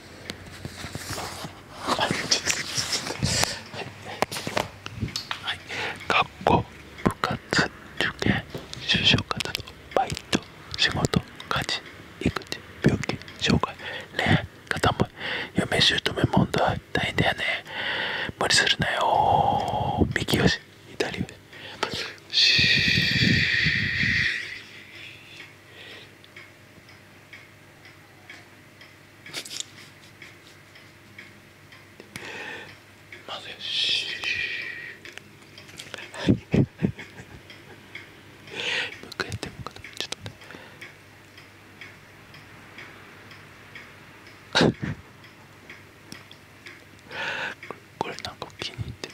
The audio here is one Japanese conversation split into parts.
はいはい学校部活受験就職活動バイト仕事家事育児病気障害恋愛片思い嫁姑問題大変だよね無理するなよ右よし左よしまずしはいもうこれなか気に入ってる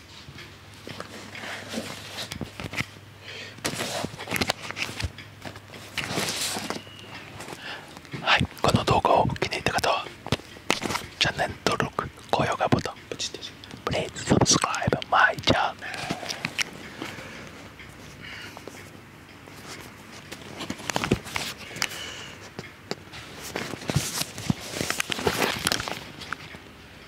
はいこの動画を気に入った方はチャンネル登録高評価ボタンポチッとして Please subscribe my channel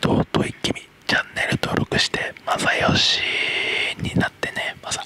とうといきみチャンネル登録してまさよしになってねまさ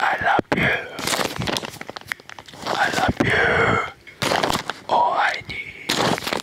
I love you. I love you. All I need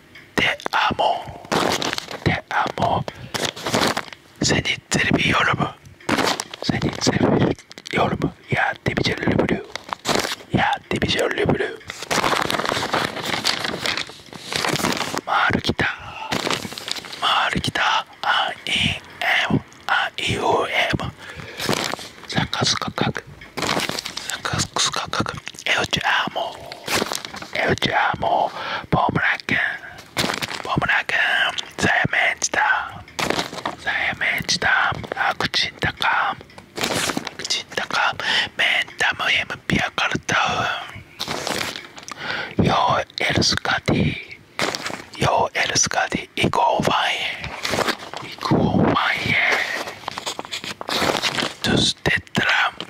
amo, te amo. Seni biliyorum. Seni seviyorum. Ya dibice lübülü. Ya dibice lübülü. Maru kita. Maru kita. A, I, M. A, I, U, M. Sakız kakak. Sakız kakak. Eu te amo. うちはもうボムラ君ボムラ君サヤメンチだサヤメンチだアクチンタカクチンタカメンタムエムピアカルタウンヨーエルスカディヨーエルスカディイコーファイエイコーファイエトゥステッドラム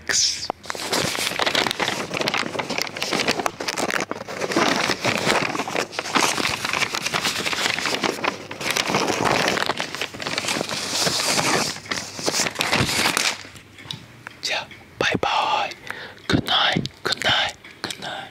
six. Yeah, bye bye. Good night, good night, good night.